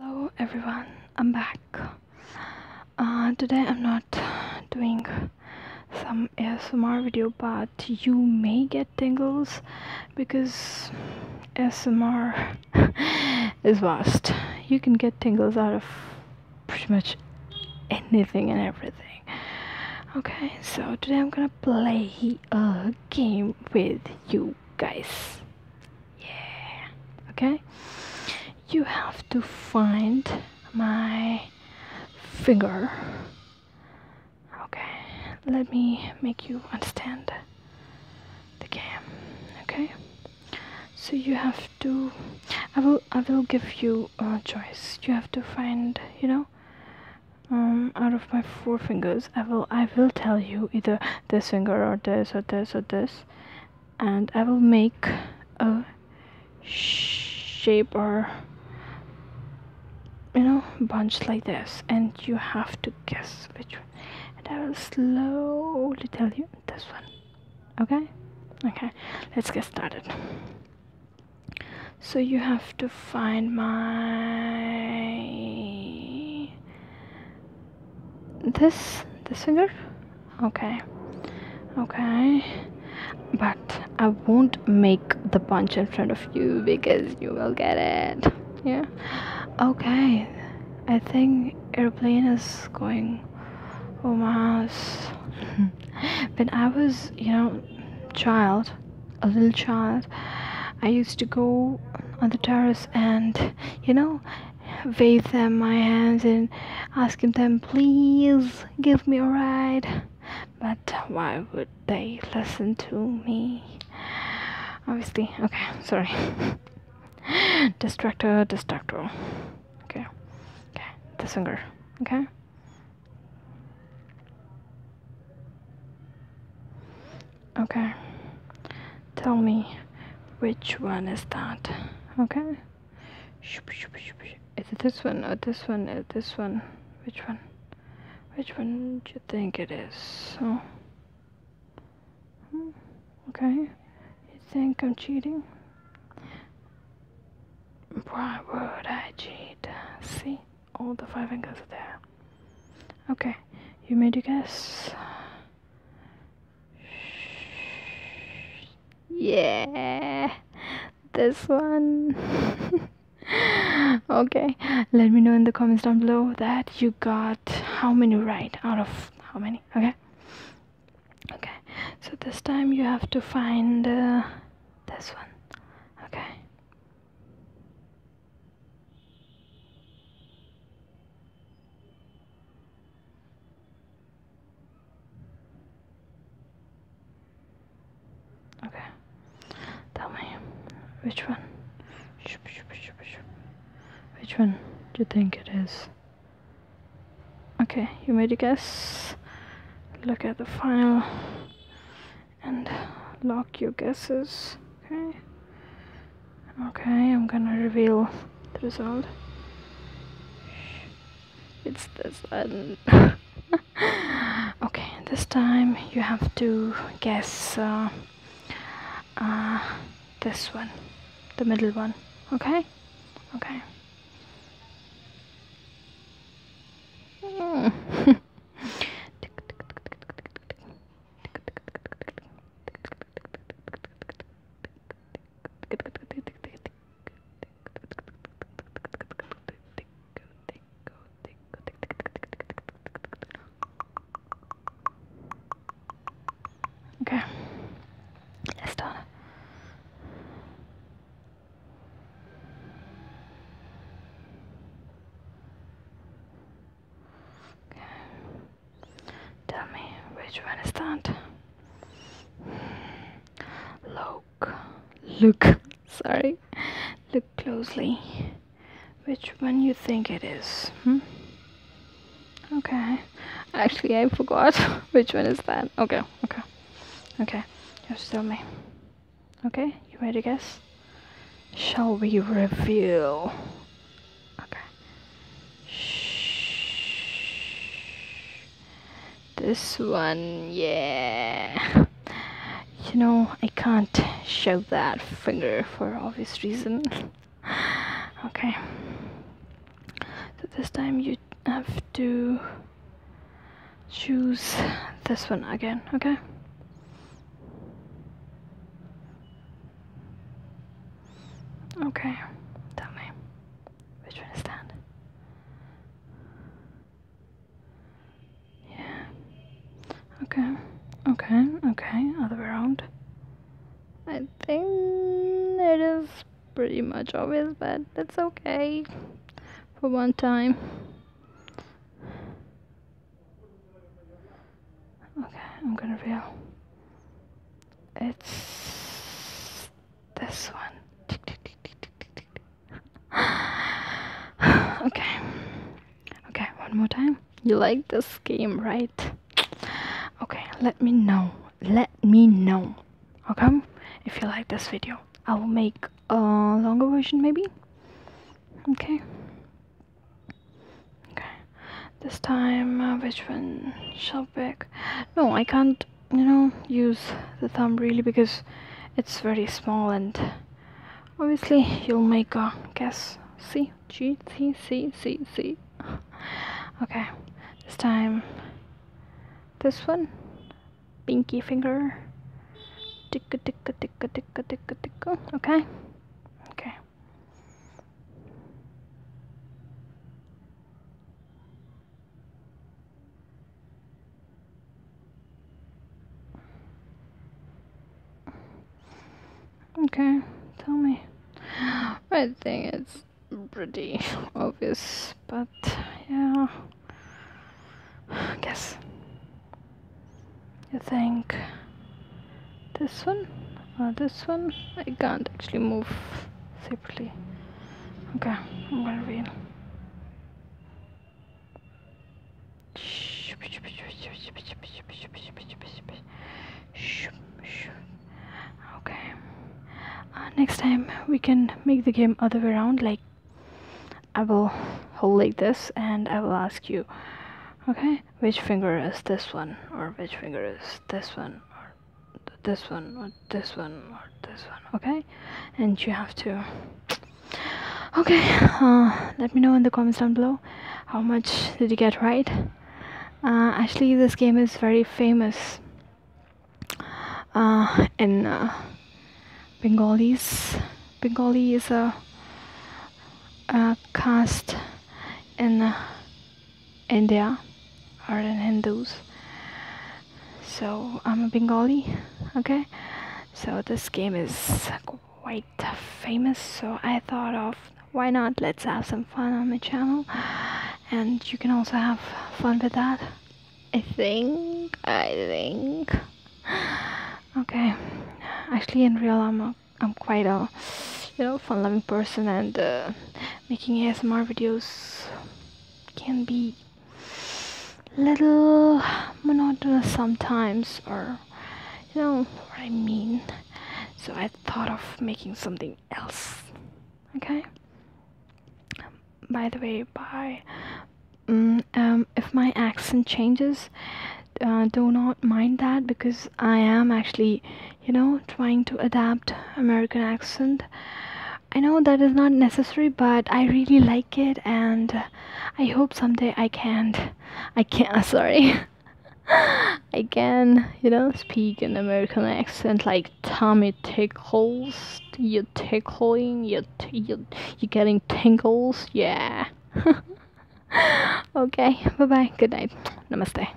Hello everyone, I'm back. Uh, today I'm not doing some ASMR video, but you may get tingles because ASMR is vast. You can get tingles out of pretty much anything and everything. Okay, so today I'm gonna play a game with you guys yeah okay you have to find my finger okay let me make you understand the game okay so you have to i will i will give you a choice you have to find you know um, out of my four fingers i will i will tell you either this finger or this or this or this and I will make a shape or you know bunch like this and you have to guess which one and I will slowly tell you this one okay okay let's get started so you have to find my this this finger okay okay but i won't make the punch in front of you because you will get it yeah okay i think airplane is going Oh my house when i was you know child a little child i used to go on the terrace and you know waved them my hands and asking them, please give me a ride. But why would they listen to me? Obviously, okay, sorry. distractor, distractor. Okay, okay, the finger, okay? okay tell me which one is that okay is it this one or this one or this one which one which one do you think it is so hmm, okay you think i'm cheating why would i cheat see all the five angles are there okay you made a guess yeah this one okay let me know in the comments down below that you got how many right out of how many okay okay so this time you have to find uh, this one okay Okay. Tell me, which one? Which one do you think it is? Okay, you made a guess. Look at the file and lock your guesses. Okay. Okay, I'm gonna reveal the result. It's this one. okay, this time you have to guess uh, uh, this one, the middle one. Okay? Okay. Okay, let's do it. Okay. Tell me, which one is that? Look, look, sorry, look closely. Which one you think it is? Hmm? Okay. Actually, I forgot which one is that. Okay, okay, okay. Just tell me. Okay, you ready to guess? Shall we reveal Okay. Shh. This one, yeah. You know, I can't show that finger for obvious reason. Okay. So this time you have to choose this one again, okay? Okay, tell me. Which one is that? Yeah. Okay, okay, okay, other way around. I think it is pretty much obvious, but that's okay for one time. Okay, I'm gonna feel. It's this one. okay. Okay, one more time. You like this game, right? Okay, let me know. Let me know. Okay? If you like this video, I will make a longer version maybe. Okay. Okay. This time, uh, which one shall pick? No, I can't, you know, use the thumb really because it's very small and obviously you'll make a guess. C, G, C, C, C, C. Okay. This time, this one. Pinky finger. Ticka, ticka, ticka, ticka, ticka, ticka. Okay. Okay. Okay, tell me. I think it's pretty obvious, but yeah. Guess. You think this one? Uh, this one I can't actually move separately okay I'm well we okay uh, next time we can make the game other way around like I will hold like this and I will ask you okay which finger is this one or which finger is this one or this one or this one or this one okay and you have to okay uh, let me know in the comments down below how much did you get right uh, actually this game is very famous uh, in Bengalis Bengali is a, caste in India are in Hindus. So I'm a Bengali, okay? So this game is quite famous, so I thought of why not let's have some fun on the channel and you can also have fun with that. I think, I think. Okay, actually in real I'm a, I'm quite a you know fun-loving person and uh, making ASMR videos can be little monotonous sometimes or you know what I mean so I thought of making something else okay by the way by mm, um, if my accent changes uh, do not mind that because I am actually you know trying to adapt american accent i know that is not necessary but i really like it and i hope someday i can not i can not sorry i can you know speak an american accent like tommy tickles you're tickling you you you're getting tingles yeah okay bye bye good night namaste